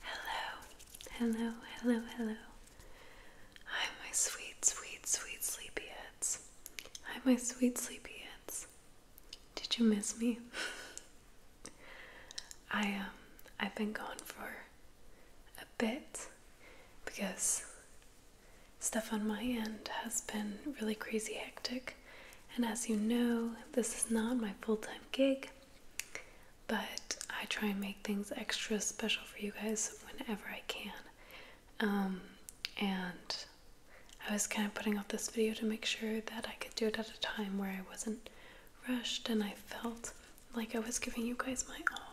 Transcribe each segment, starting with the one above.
Hello, hello, hello, hello. Hi, my sweet, sweet, sweet sleepyheads. Hi, my sweet sleepyheads. Did you miss me? I um, I've been gone for a bit because stuff on my end has been really crazy hectic, and as you know, this is not my full time gig but I try and make things extra special for you guys whenever I can. Um, and I was kind of putting off this video to make sure that I could do it at a time where I wasn't rushed and I felt like I was giving you guys my all.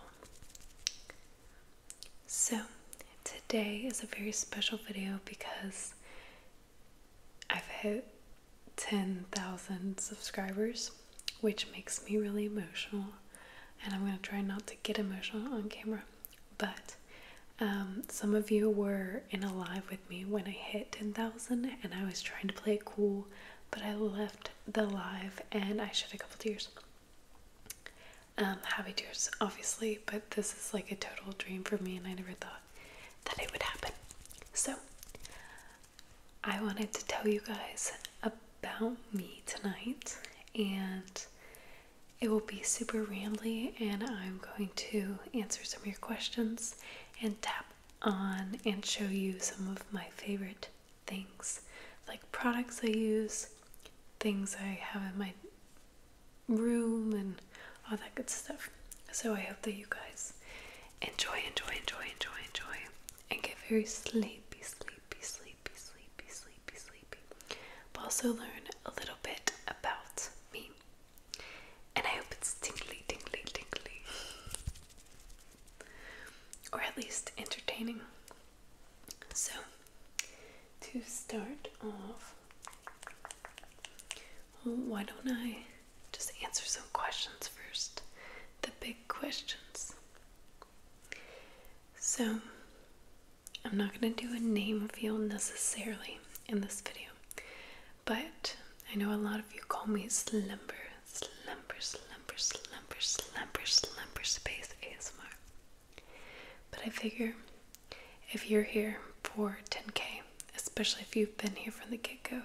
So, today is a very special video because I've hit 10,000 subscribers, which makes me really emotional. And I'm going to try not to get emotional on camera. But um, some of you were in a live with me when I hit 10,000 and I was trying to play cool, but I left the live and I shed a couple tears. Um, happy tears, obviously, but this is like a total dream for me and I never thought that it would happen. So, I wanted to tell you guys about me tonight, and it will be super rambly, and I'm going to answer some of your questions and tap on and show you some of my favorite things like products I use, things I have in my room, and all that good stuff. So I hope that you guys enjoy, enjoy, enjoy, enjoy, enjoy, and get very sleepy, sleepy, sleepy, sleepy, sleepy, sleepy. But also learn a little bit about me. And I hope it's tingly, tingly, tingly. Or at least entertaining. So, to start off, why don't I just answer some questions first. The big questions. So, I'm not going to do a name field necessarily in this video, but I know a lot of you call me Slumber, Slumber, Slumber, Slumber, Slumber, Slumber Space ASMR. But I figure if you're here for 10K, especially if you've been here from the get go,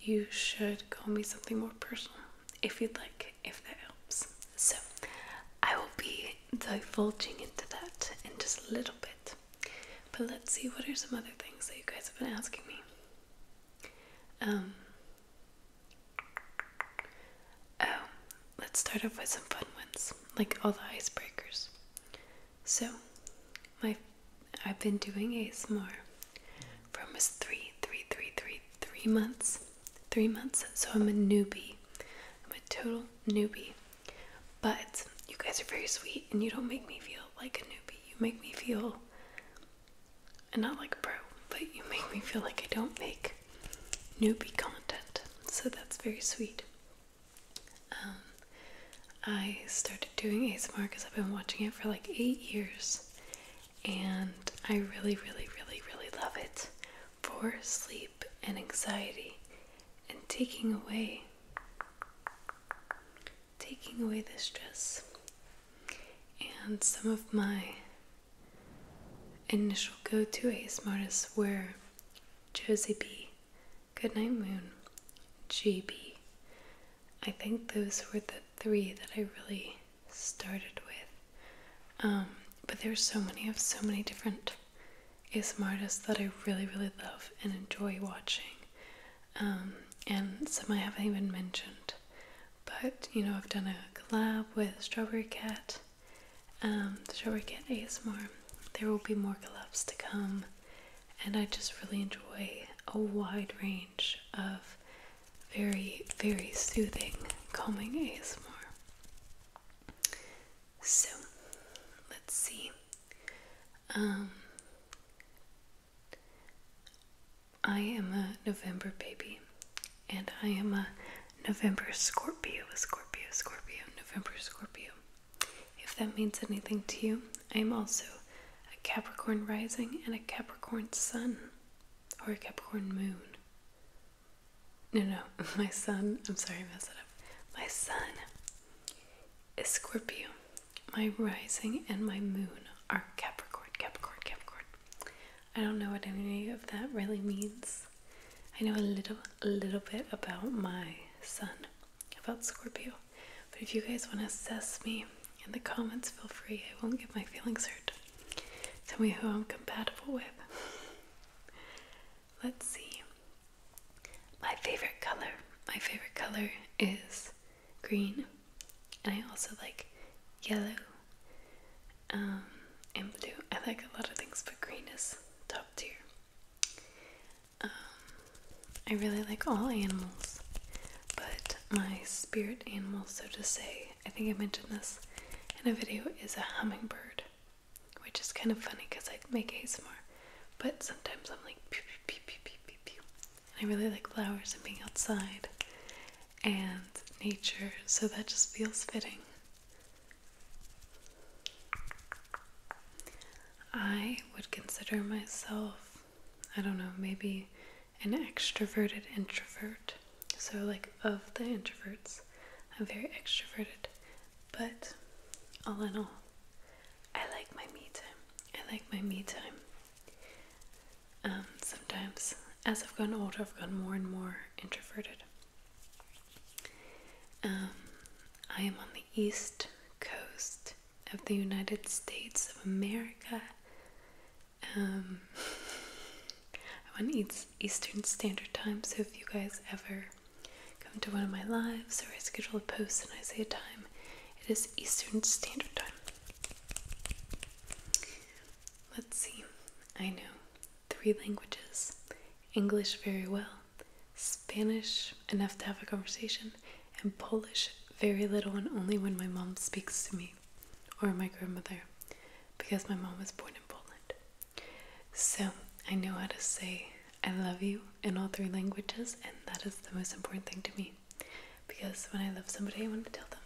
you should call me something more personal if you'd like, if that helps. So, I will be divulging into that in just a little bit. But let's see what are some other things that you guys have been asking me. Um, oh, let's start off with some fun ones, like all the icebreakers. So, my I've been doing ASMR for almost three, three, three, three, three months, three months. So I'm a newbie. I'm a total newbie. But you guys are very sweet, and you don't make me feel like a newbie. You make me feel, and not like a pro, but you make me feel like I don't make newbie content. So that's very sweet. Um, I started doing ASMR because I've been watching it for like eight years and I really, really, really, really love it for sleep and anxiety and taking away taking away the stress. And some of my initial go-to ASMR artists were Josie B, Goodnight Moon, GB, I think those were the three that I really started with. Um, but there are so many, of so many different ASMR artists that I really, really love and enjoy watching. Um, and some I haven't even mentioned. But, you know, I've done a collab with Strawberry Cat, um, Strawberry Cat ASMR. There will be more collabs to come and I just really enjoy a wide range of very, very soothing, calming ASMR. So, let's see. Um, I am a November baby, and I am a November Scorpio, Scorpio, Scorpio, November Scorpio. If that means anything to you, I am also a Capricorn rising and a Capricorn sun or a Capricorn moon. No, no, my sun, I'm sorry, I messed it up. My sun is Scorpio. My rising and my moon are Capricorn, Capricorn, Capricorn. I don't know what any of that really means. I know a little, a little bit about my sun, about Scorpio. But if you guys want to assess me in the comments, feel free. I won't get my feelings hurt. Tell me who I'm compatible with. Let's see. My favorite color. My favorite color is green. And I also like yellow um, and blue. I like a lot of things, but green is top tier. Um, I really like all animals, but my spirit animal, so to say, I think I mentioned this in a video, is a hummingbird, which is kind of funny because I make ASMR, but sometimes I'm like I really like flowers and being outside and nature, so that just feels fitting. I would consider myself I don't know, maybe an extroverted introvert. So, like, of the introverts, I'm very extroverted. But all in all, I like my me time. I like my me time. Um, sometimes, as I've gotten older, I've gotten more and more introverted. Um, I am on the East Coast of the United States of America. Um, I want to Eastern Standard Time, so if you guys ever come to one of my lives or I schedule a post and I say a time, it is Eastern Standard Time. Let's see. I know three languages English very well, Spanish enough to have a conversation, and Polish very little and only when my mom speaks to me or my grandmother because my mom was born in Poland. So I know how to say I love you in all three languages, and that is the most important thing to me because when I love somebody, I want to tell them,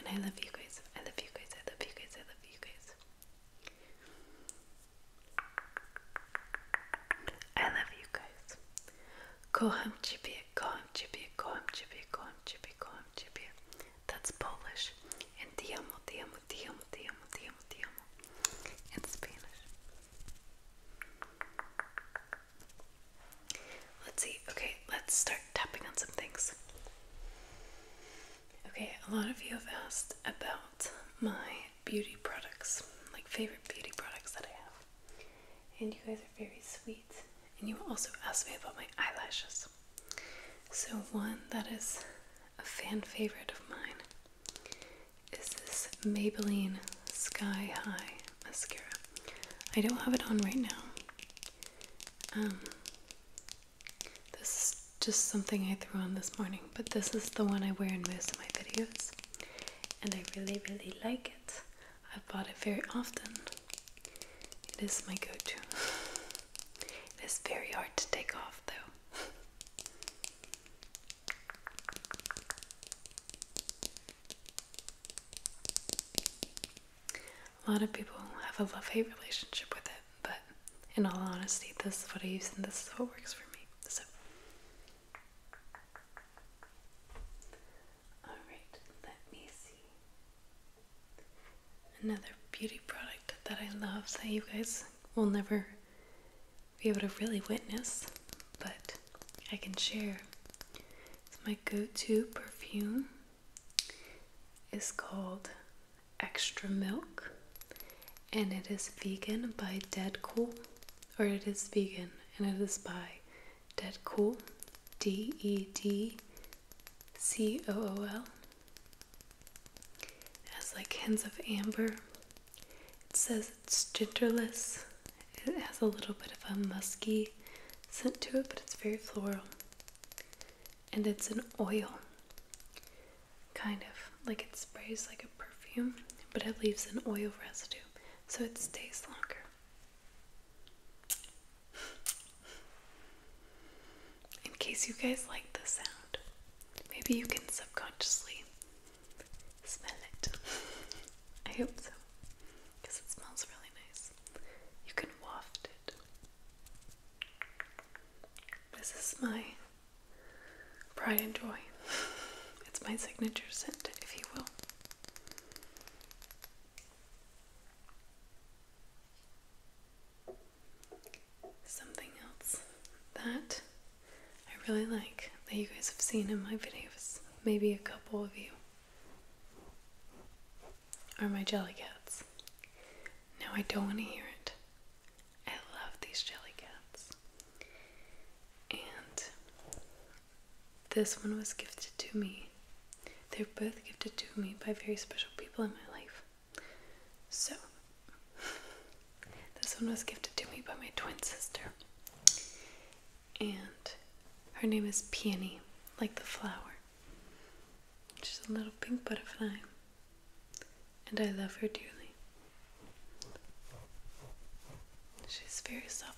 and I love you guys, I love you guys, I love you guys, I love you guys. I love you guys. Kocham ciebie, kocham ciebie, kocham ciebie, kocham ciebie, kocham ciebie. That's Polish. And ti amo, ti amo, ti amo, ti amo, ti amo, ti amo. In Spanish. Let's see. Okay, let's start tapping on some things. Okay, a lot of you have asked about my beauty products, like favorite beauty products that I have and you guys are very sweet. And you also asked me about my eyelashes. So, one that is a fan favorite of mine is this Maybelline Sky High mascara. I don't have it on right now. Um, this is just something I threw on this morning, but this is the one I wear in most of my videos, and I really, really like it. I have bought it very often. It is my go to. it is very hard to take off though. a lot of people have a love hate relationship with it, but in all honesty, this is what I use and this is what works for me. So, Alright, let me see. Another beauty product that I love that you guys will never be able to really witness, but I can share. It's my go to perfume. It's called Extra Milk and it is vegan by Dead Cool, or it is vegan and it is by Dead cool, D E D C O O L. It has like hints of amber. It says it's gingerless. It has a little bit of a musky scent to it, but it's very floral. And it's an oil, kind of like it sprays like a perfume, but it leaves an oil residue so it stays longer. In case you guys like the sound, maybe you can subconsciously smell it. I hope so, because it smells really nice. You can waft it. This is my pride and joy. It's my signature scent, if you will. Something else that I really like that you guys have seen in my videos, maybe a couple of you, are my jelly cats. Now I don't want to hear it. I love these jelly cats and this one was gifted to me. They're both gifted to me by very special people in my life. So, this one was gifted to me by my twin sister, and her name is Peony, like the flower. She's a little pink butterfly, and I love her dearly. She's very soft.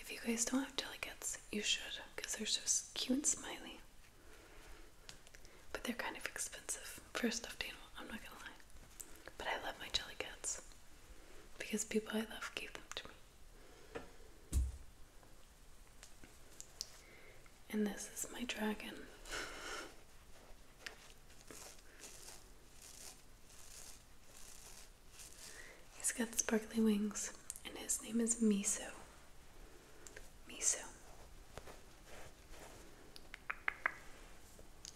If you guys don't have delicates, you should because they're so cute and smiley. But they're kind of expensive for a stuffed I'm not gonna lie. But I love my jelly cats because people I love gave them to me. And this is my dragon. He's got sparkly wings, and his name is Miso. Miso.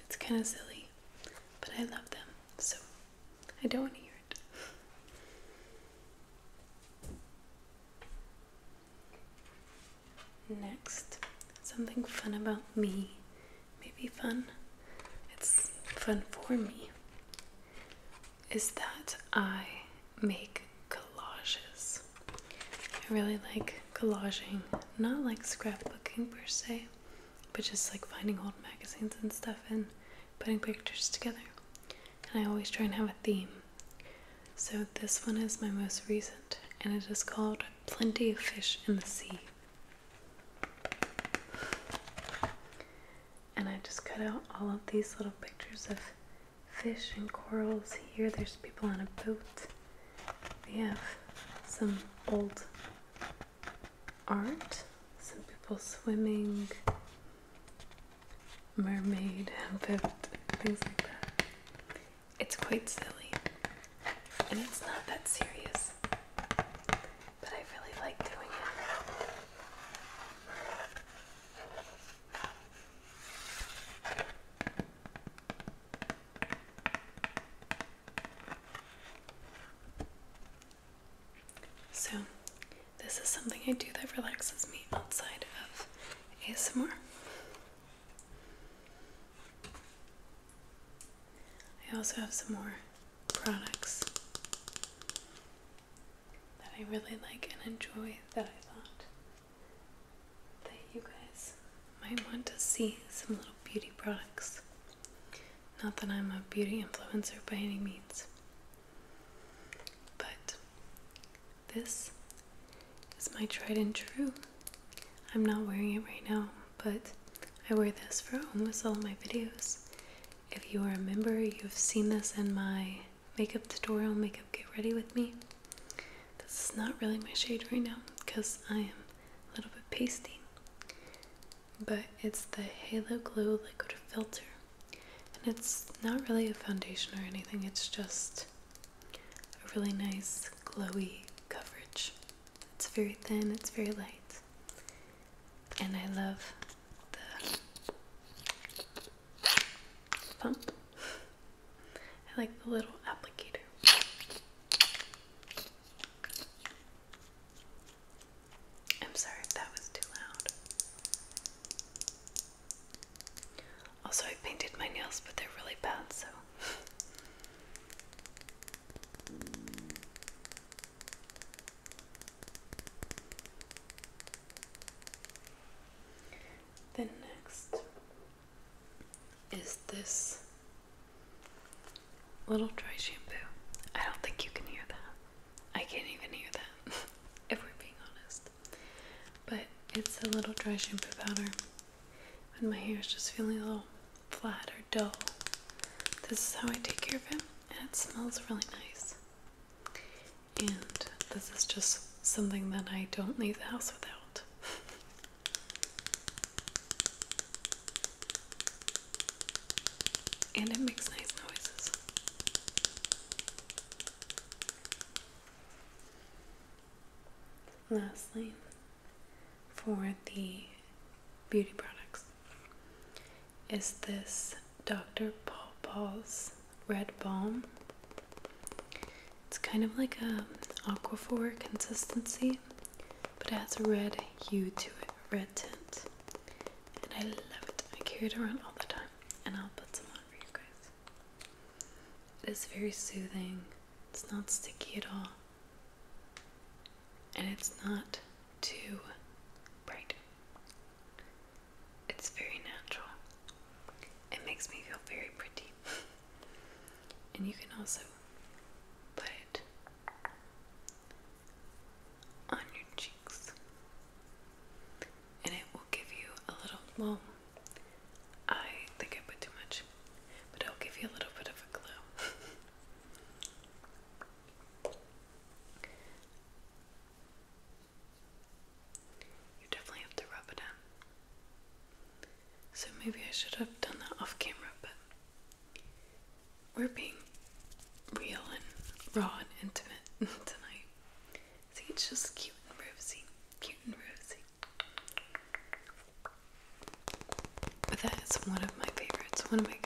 It's kind of silly, but I love them, so I don't want to hear it. Next, something fun about me maybe fun, it's fun for me, is that I make collages. I really like collaging, not like scrapbooking per se, but just like finding old magazines and stuff and putting pictures together. And I always try and have a theme. So this one is my most recent, and it is called Plenty of Fish in the Sea. And I just cut out all of these little pictures of fish and corals. Here there's people on a boat. We have some old art, some people swimming, mermaid, boat, things like that. It's quite silly. And it's not that serious. So, this is something I do that relaxes me outside of ASMR. I also have some more products that I really like and enjoy that I thought that you guys might want to see some little beauty products. Not that I'm a beauty influencer by any means, but this is my tried and true. I'm not wearing it right now, but I wear this for almost all my videos. If you are a member, you've seen this in my makeup tutorial, Makeup Get Ready With Me. This is not really my shade right now because I am a little bit pasty, but it's the Halo Glow Liquid Filter. And it's not really a foundation or anything, it's just a really nice glowy coverage. It's very thin, it's very light and I love the pump. I like the little applicator. I'm sorry that was too loud. Also, I painted my nails, but they're really bad, so the next is this little dry shampoo. I don't think you can hear that. I can't even hear that, if we're being honest. But it's a little dry shampoo powder. and my hair is just feeling a little flatter dough. This is how I take care of him, and it smells really nice. And this is just something that I don't leave the house without. and it makes nice noises. Lastly, for the beauty products is this Dr. Paul Paul's Red Balm. It's kind of like a aquaphor consistency, but it has a red hue to it, red tint. And I love it. I carry it around all the time. And I'll put some on for you guys. It is very soothing. It's not sticky at all and it's not too bright. It's very natural. It makes me feel very pretty. and you can also put it on your cheeks. And it will give you a little, well, I think I put too much, but it'll give you a little bit of a glow. You definitely have to rub it in. So maybe I should have done that off camera, but we're being real and raw and intimate tonight. See, it's just cute and rosy. Cute and rosy. But that is one of my favorites, one of my go-tos.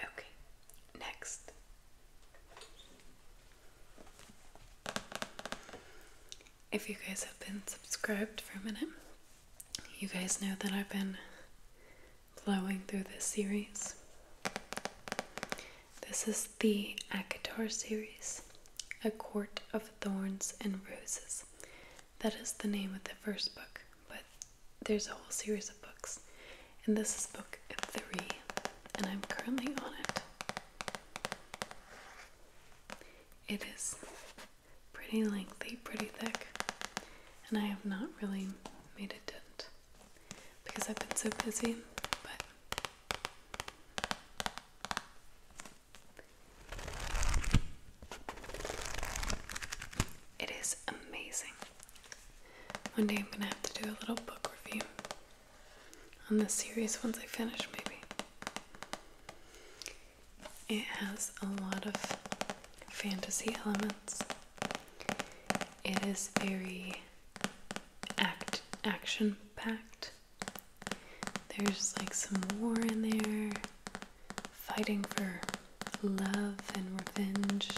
okay, next. If you guys have been subscribed for a minute, you guys know that I've been flowing through this series. This is the ACOTAR series, A Court of Thorns and Roses. That is the name of the first book, but there's a whole series of books. And this is book three, and I'm currently on it. It is pretty lengthy, pretty thick, and I have not really made a dent because I've been so busy, but it is amazing. One day I'm gonna have to do a little book review on this series once I finish, maybe. It has a lot of fantasy elements. It is very act action packed. There's like some war in there, fighting for love and revenge.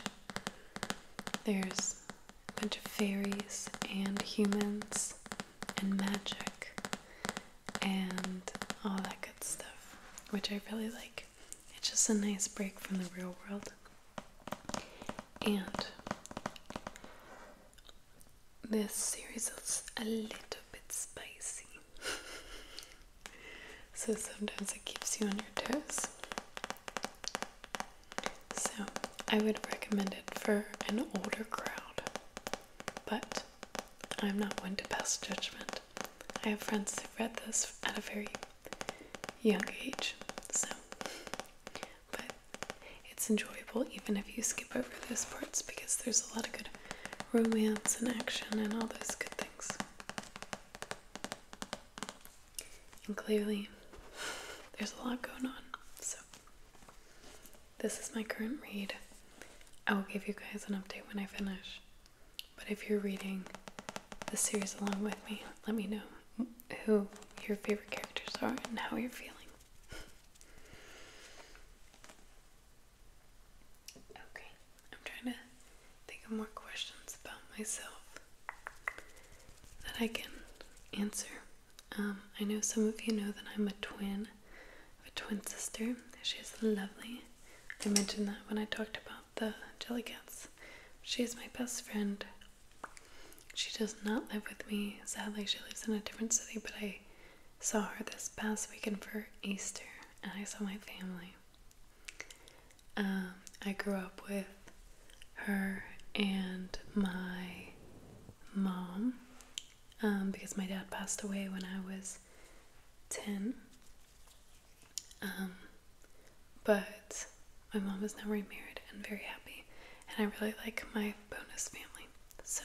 There's a bunch of fairies and humans and magic and all that good stuff, which I really like. It's just a nice break from the real world. And this series is a little bit spicy. so sometimes it keeps you on your toes. So I would recommend it for an older crowd, but I'm not one to pass judgment. I have friends who read this at a very young age, so but it's enjoyable even if you skip over those parts because there's a lot of good romance and action and all those good things. And clearly, there's a lot going on. So, this is my current read. I will give you guys an update when I finish. But if you're reading the series along with me, let me know who your favorite characters are and how you're feeling. Okay, I'm trying to think of more questions about myself that I can answer. Um, I know some of you know that I'm a twin, a twin sister. She's lovely. I mentioned that when I talked about the jellycats. She is my best friend. She does not live with me. Sadly, she lives in a different city, but I saw her this past weekend for Easter and I saw my family. Um, I grew up with her and my mom um, because my dad passed away when I was 10. Um, but my mom is now remarried and very happy and I really like my bonus family. So,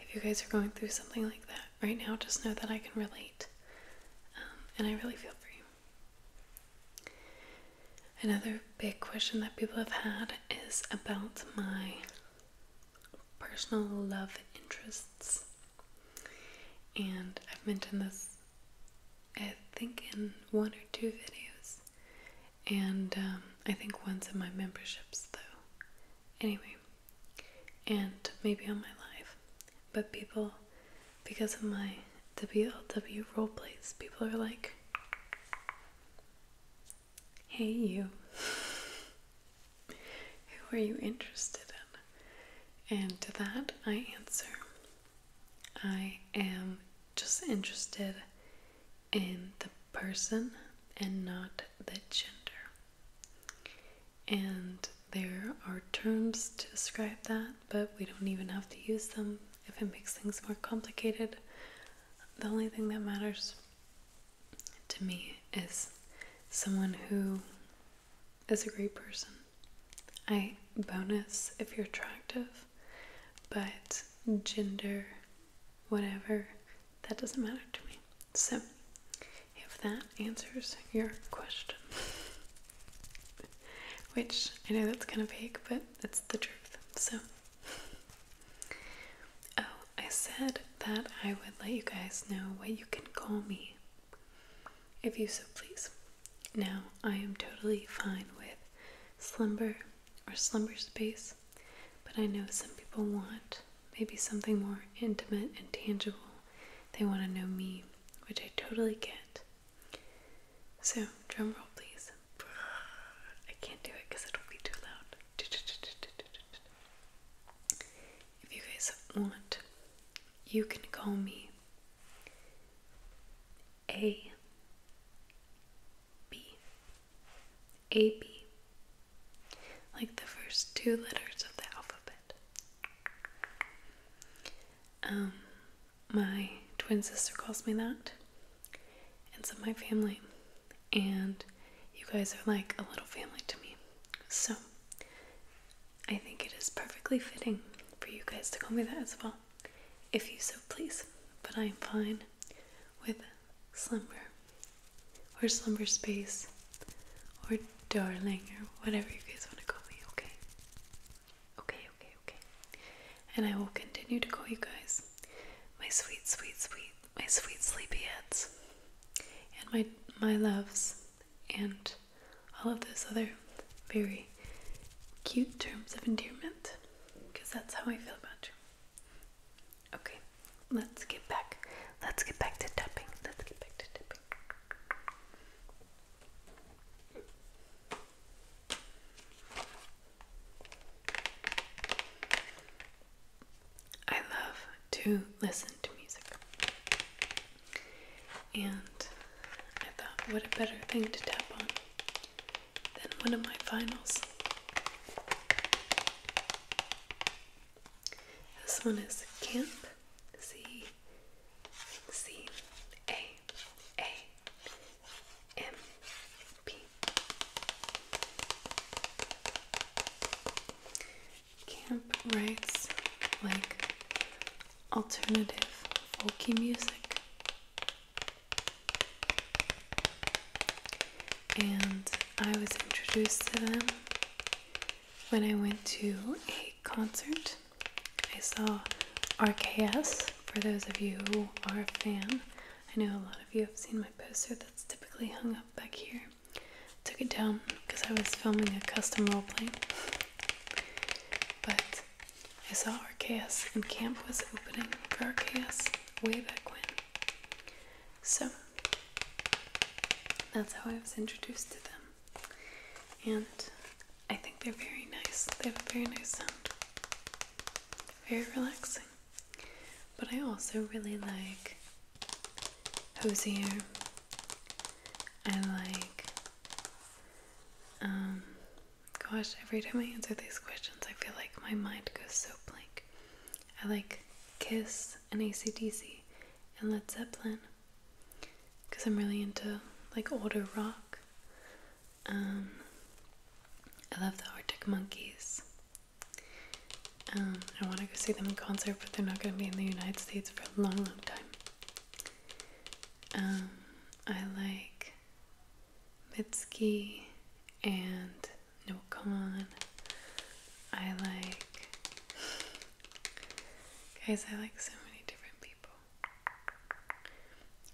if you guys are going through something like that right now, just know that I can relate, um, and I really feel for you. Another big question that people have had is about my personal love interests. And I've mentioned this, I think, in one or two videos and um, I think once in my memberships though. Anyway, and maybe on my live, but people, because of my WLW role plays, people are like, hey, you, who are you interested in? And to that, I answer, I am just interested in the person and not the gender. And there are terms to describe that, but we don't even have to use them if it makes things more complicated. The only thing that matters to me is someone who is a great person. I bonus if you're attractive, but gender, whatever, that doesn't matter to me. So, if that answers your question, which I know that's kind of vague, but that's the truth. So, oh, I said that I would let you guys know what you can call me if you so please. Now, I am totally fine with slumber or slumber space, but I know some people want maybe something more intimate and tangible. They want to know me, which I totally get. So, drum roll, please. I can't do it because it'll be too loud. If you guys want, you can call me A B. Like the first two letters of the alphabet. Um, my twin sister calls me that, and so my family. And you guys are like a little family to me. So I think it is perfectly fitting for you guys to call me that as well if you so please, but I am fine with slumber or slumber space or darling or whatever you guys want to call me, okay? Okay, okay, okay. And I will continue to call you guys my sweet, sweet, sweet, my sweet sleepyheads and my my loves and all of those other very cute terms of endearment because that's how I feel about you. Okay, let's get back. Let's get back to tapping. Let's get back to tapping. I love to listen to music. And I thought, what a better thing to tap on then one of my finals. This one is Camp C C A A M P. Camp writes like alternative folky music. And I was introduced to them when I went to a concert. I saw RKS, for those of you who are a fan. I know a lot of you have seen my poster that's typically hung up back here. took it down because I was filming a custom roleplay. But I saw Arceus and camp was opening for Arceus way back when. So that's how I was introduced to them. And I think they're very nice. They have a very nice sound. Very relaxing. But I also really like Hosier. I like um, Gosh, every time I answer these questions, I feel like my mind goes so blank. I like Kiss and ACDC and Led Zeppelin because I'm really into like older rock. Um, I love the Arctic Monkeys. Um, I want to go see them in concert, but they're not going to be in the United States for a long, long time. Um, I like Mitski and Nokon. I like. Guys, I like so many different people.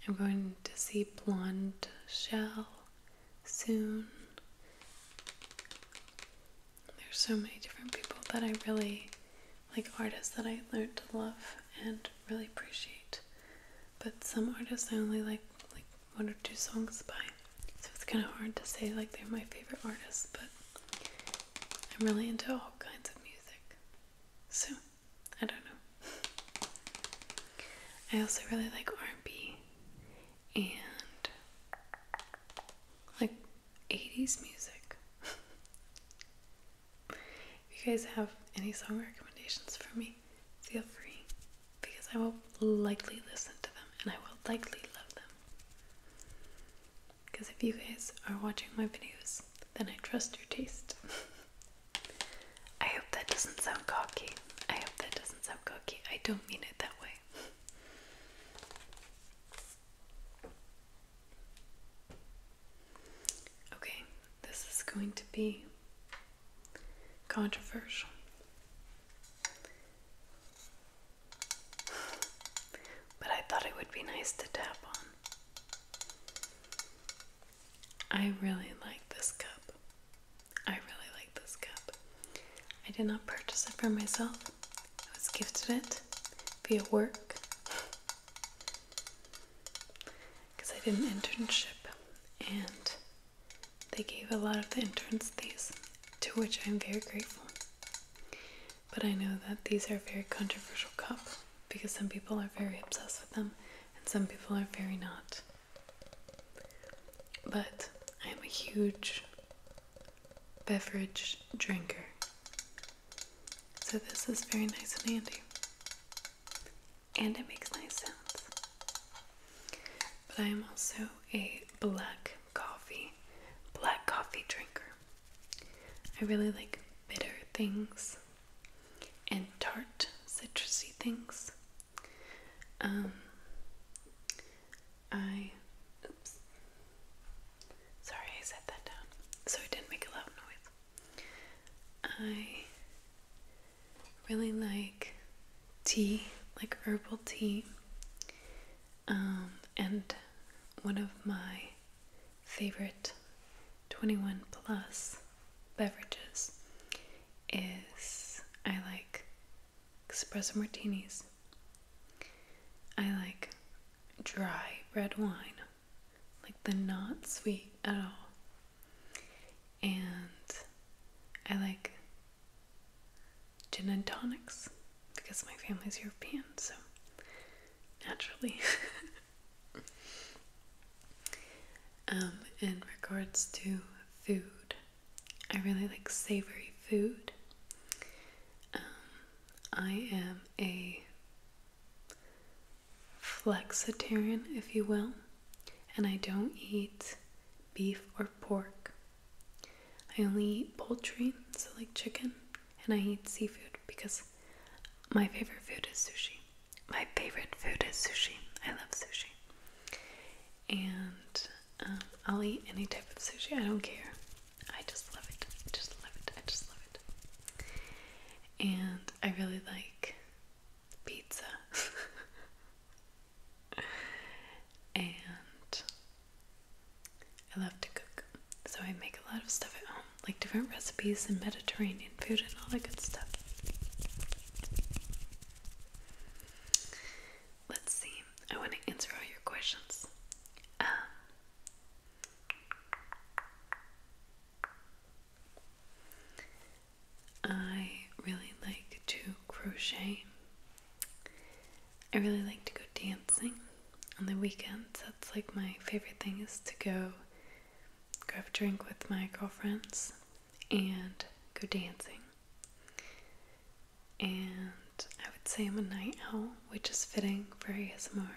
I'm going to see Blonde Shell soon. There's so many different people that I really like artists that I learned to love and really appreciate but some artists I only like like one or two songs by, so it's kind of hard to say like they're my favorite artists. But I'm really into all kinds of music, so I don't know. I also really like R&B and like 80s music. If you guys have any song recommendations for me, feel free because I will likely listen to them and I will likely love them. Because if you guys are watching my videos, then I trust your taste. I hope that doesn't sound cocky. I hope that doesn't sound cocky. I don't mean it that way. Okay, this is going to be Controversial. But I thought it would be nice to tap on. I really like this cup. I really like this cup. I did not purchase it for myself, I was gifted it via work because I did an internship and they gave a lot of the interns these, to which I'm very grateful. But I know that these are very controversial cups because some people are very obsessed with them and some people are very not. But I am a huge beverage drinker. So this is very nice and handy and it makes nice sounds. But I am also a black coffee, black coffee drinker. I really like bitter things and tart, citrusy things. Um, I, sorry, I set that down so it didn't make a loud noise. I really like tea, like herbal tea. Um, and one of my favorite 21 plus beverages is I like espresso martinis. I like dry red wine, like the not sweet at all. And I like gin and tonics because my family's European, so naturally. Um, in regards to food, I really like savory food. Um, I am a flexitarian, if you will, and I don't eat beef or pork. I only eat poultry, so like chicken, and I eat seafood because my favorite food is sushi. My favorite food is sushi. I love sushi. And um, I'll eat any type of sushi, I don't care. I just love it. I just love it. I just love it. And I really like pizza. and I love to cook. So I make a lot of stuff at home, like different recipes and Mediterranean food and all that good stuff. Let's see. I want to answer all your questions. Um, I really like to crochet. I really like to go dancing on the weekends. That's like my favorite thing is to go go have a drink with my girlfriends and go dancing. And I would say I'm a night owl, which is fitting for ASMR.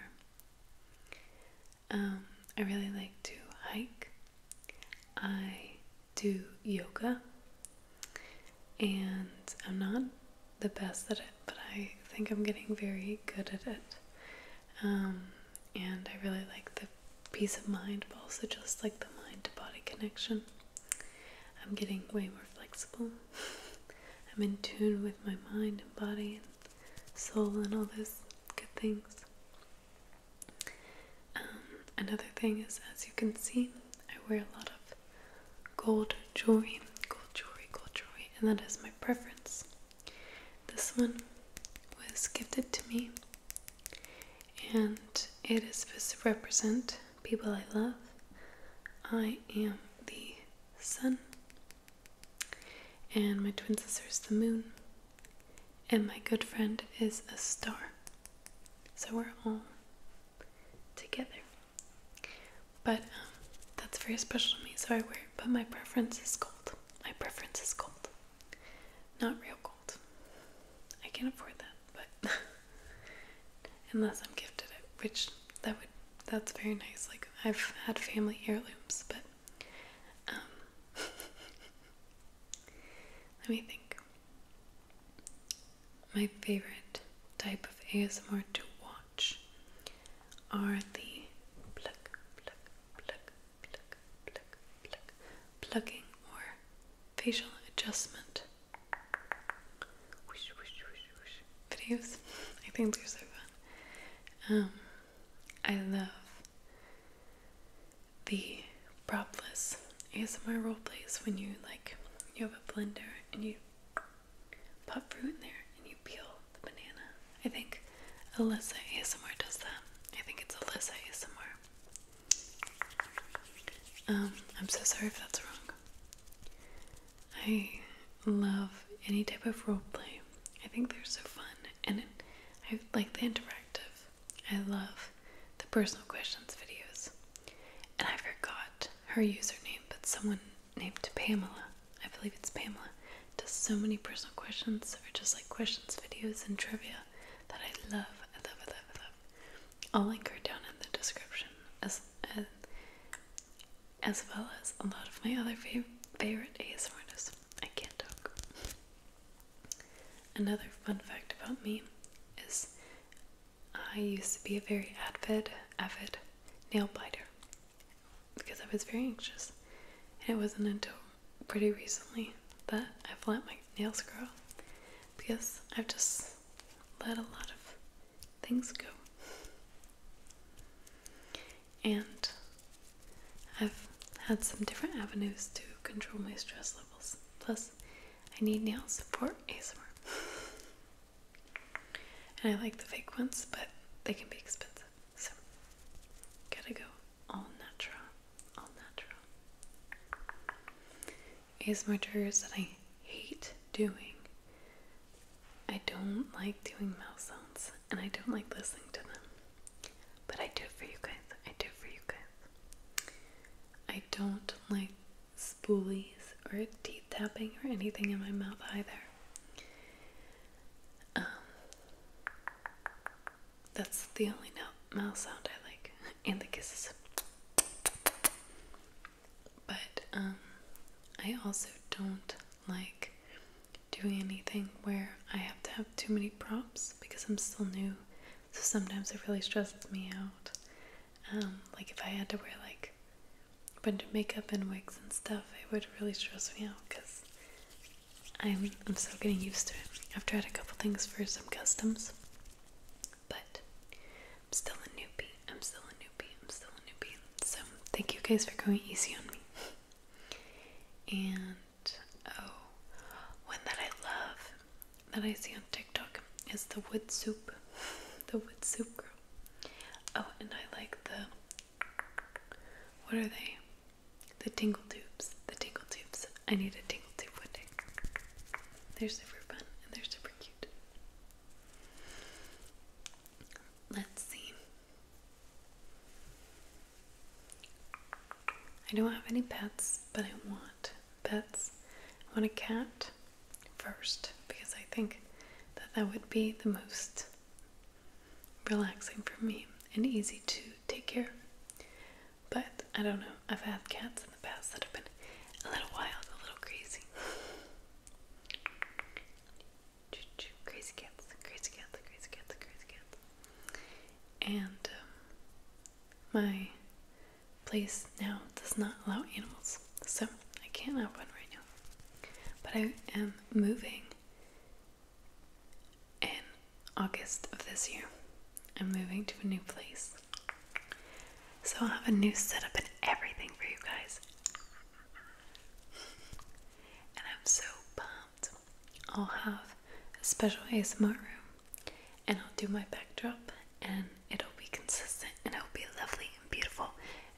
Um, I really like to hike. I do yoga, and I'm not the best at it, but I think I'm getting very good at it. Um, and I really like the peace of mind, but also just like the mind to body connection. I'm getting way more flexible. I'm in tune with my mind and body and soul and all those good things. Um, another thing is, as you can see, I wear a lot of gold jewelry, gold jewelry, gold jewelry, and that is my preference. This one was gifted to me, and it is supposed to represent people I love. I am the sun, and my twin sister is the moon and my good friend is a star. So we're all together. But um, that's very special to me, so I wear it. But my preference is gold. My preference is gold. Not real gold. I can't afford that, but unless I'm gifted it, which that would that's very nice. Like I've had family heirlooms, but um, Let me think. My favorite type of ASMR to watch are the pluck, or facial adjustment videos. I think they're so fun. Um, I love the propless ASMR role plays when you like you have a blender and you put fruit in there and you peel the banana. I think Alyssa ASMR does that. I think it's Alyssa ASMR. Um, I'm so sorry if that's wrong. I love any type of role play. I think they're so fun and I like the interactive I love the personal questions videos. And I forgot her username, but someone named Pamela, I believe it's Pamela, does so many personal questions or just like questions videos and trivia that I love. I love, I love, I love. I'll link her down in the description as as, well as a lot of my other fav favorite ASMRs. I can't talk. Another fun fact about me is I used to be a very avid, avid nail biter because I was very anxious. And it wasn't until pretty recently that I've let my nails grow because I've just let a lot of things go. And I've had some different avenues to control my stress levels. Plus, I need nail support ASMR. and I like the fake ones, but they can be expensive. So, gotta go all natural. All natural. ASMR triggers that I hate doing. I don't like doing mouth sounds and I don't like listening to them. But I do it for you guys. I do it for you guys. I don't like spoolies or teeth tapping or anything in my mouth either. Um, that's the only mouth sound I like, and the kisses. But um, I also don't like doing anything where I have to have too many props because I'm still new. So sometimes it really stresses me out. Um, like if I had to wear like a bunch of makeup and wigs and stuff, it would really stress me out because I'm, I'm still getting used to it. I've tried a couple things for some customs, but I'm still a newbie. I'm still a newbie. I'm still a newbie. So thank you guys for going easy on me. and Oh, one that I love that I see on TikTok is the wood soup. the wood soup girl. Oh, and I like the. What are they? The tingle tubes. The tingle tubes. I need a tingle tube one They're super fun and they're super cute. Let's see. I don't have any pets, but I want pets. I want a cat first because I think that that would be the most relaxing for me and easy to take care of. But I don't know, I've had cats in the past that have been a little wild, a little crazy. Crazy cats, crazy cats, crazy cats, crazy cats and um, my place now does not allow animals, so I can't have one right now. But I am moving in August of this year. I'm moving to a new place. So I'll have a new setup and everything for you guys. And I'm so pumped. I'll have a special ASMR room and I'll do my backdrop and it'll be consistent and it'll be lovely and beautiful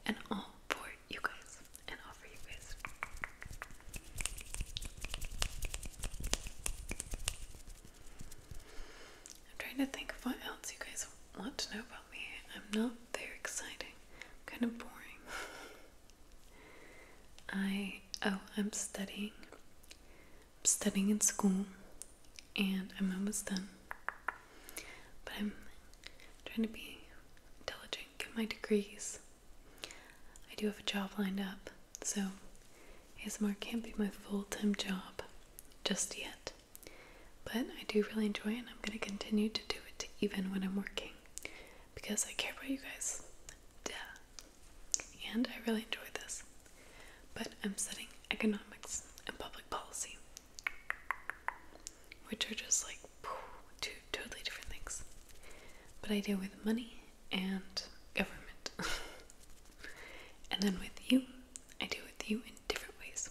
and all for you guys and all for you guys. I'm trying to think of what else you guys want to know about me. I'm not very exciting. kind of boring. I oh, I'm studying I'm studying in school and I'm almost done. But I'm trying to be intelligent, get my degrees. I do have a job lined up, so ASMR can't be my full time job just yet. But I do really enjoy it and I'm going to continue to do it even when I'm working because I care about you guys. Duh and I really enjoy this. But I'm studying economics and public policy, which are just like two totally different things. But I deal with money and government. and then with you, I deal with you in different ways.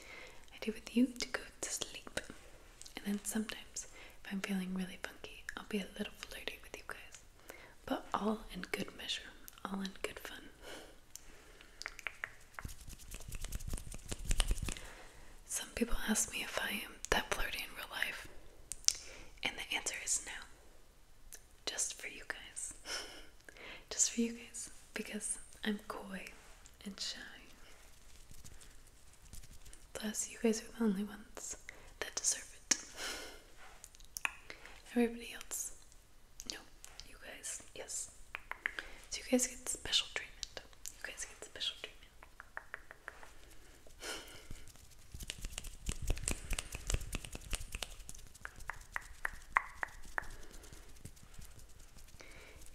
I deal with you to go to sleep. And then sometimes, if I'm feeling really funky, I'll be a little flirty with you guys but all in good measure, all in good fun. Some people ask me if I am that flirty in real life, and the answer is no. Just for you guys. Just for you guys, because I'm coy and shy. Plus, you guys are the only ones that deserve it. Everybody else, no, you guys, yes. So you guys get special treatment. You guys get special treatment.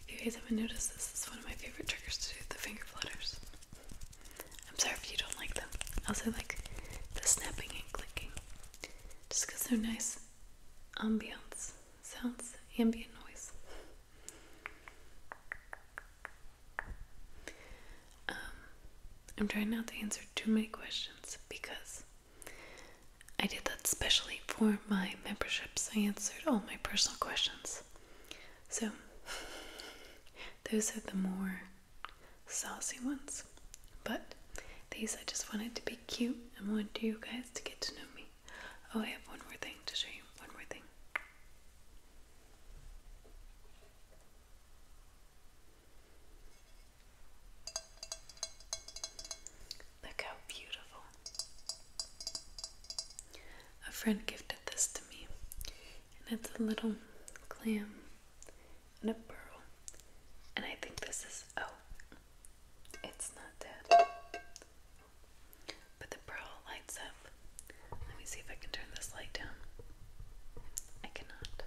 If you guys haven't noticed this is one of my favorite triggers to do the finger flutters. I'm sorry if you don't like them. I also like the snapping and clicking. Just because they're nice ambience sounds, ambient noise. Um, I'm trying not to answer too many questions because I did that specially for my memberships. I answered all my personal questions. So, those are the more saucy ones. But these I just wanted to be cute and want you guys to get to know me. Oh, I have one more thing to show you. One more thing. Look how beautiful. A friend gifted this to me, and it's a little clam and a pearl. And I think this is oh, it's not dead. But the pearl lights up. Let me see if I can turn this light down. I cannot.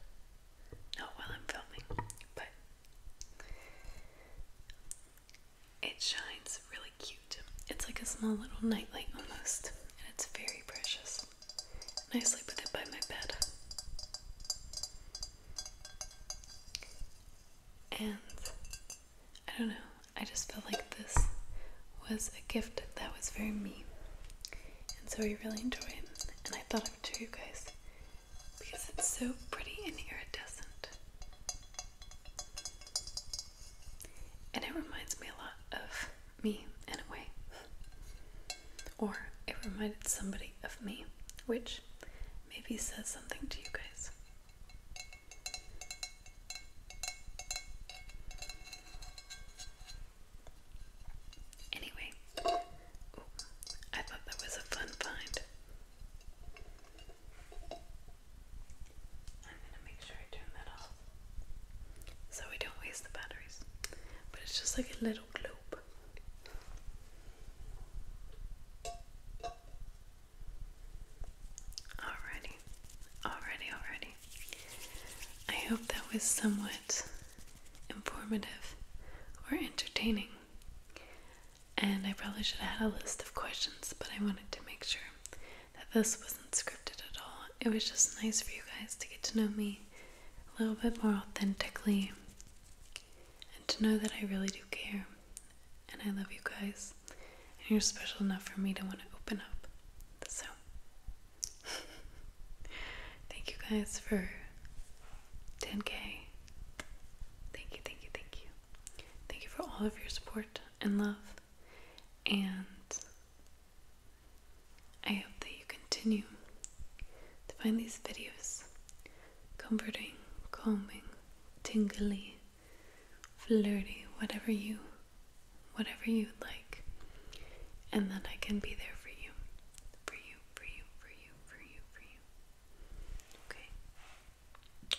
Not while I'm filming, but it shines really cute. It's like a small little nightlight almost, and it's very precious. I sleep with it by my bed. And I don't know, I just felt like this was a gift that was very me. And so I really enjoy it. And I thought of it to you guys because it's so pretty and iridescent. And it reminds me a lot of me in a way. Or it reminded somebody of me, which maybe says something to you guys. Anyway, I thought that was a fun find. I'm gonna make sure I turn that off so we don't waste the batteries. But it's just like a little globe. Alrighty, alrighty, alrighty. I hope that was somewhat informative or entertaining. And I probably should have had a list of questions, but I wanted to make sure that this wasn't scripted at all it was just nice for you guys to get to know me a little bit more authentically and to know that I really do care and I love you guys and you're special enough for me to want to open up. So, thank you guys for 10k. Thank you, thank you, thank you. Thank you for all of your support and love. And I hope that you continue to find these videos comforting, calming, tingly, flirty, whatever you whatever you'd like. And that I can be there for you. For you, for you, for you, for you, for you. Okay.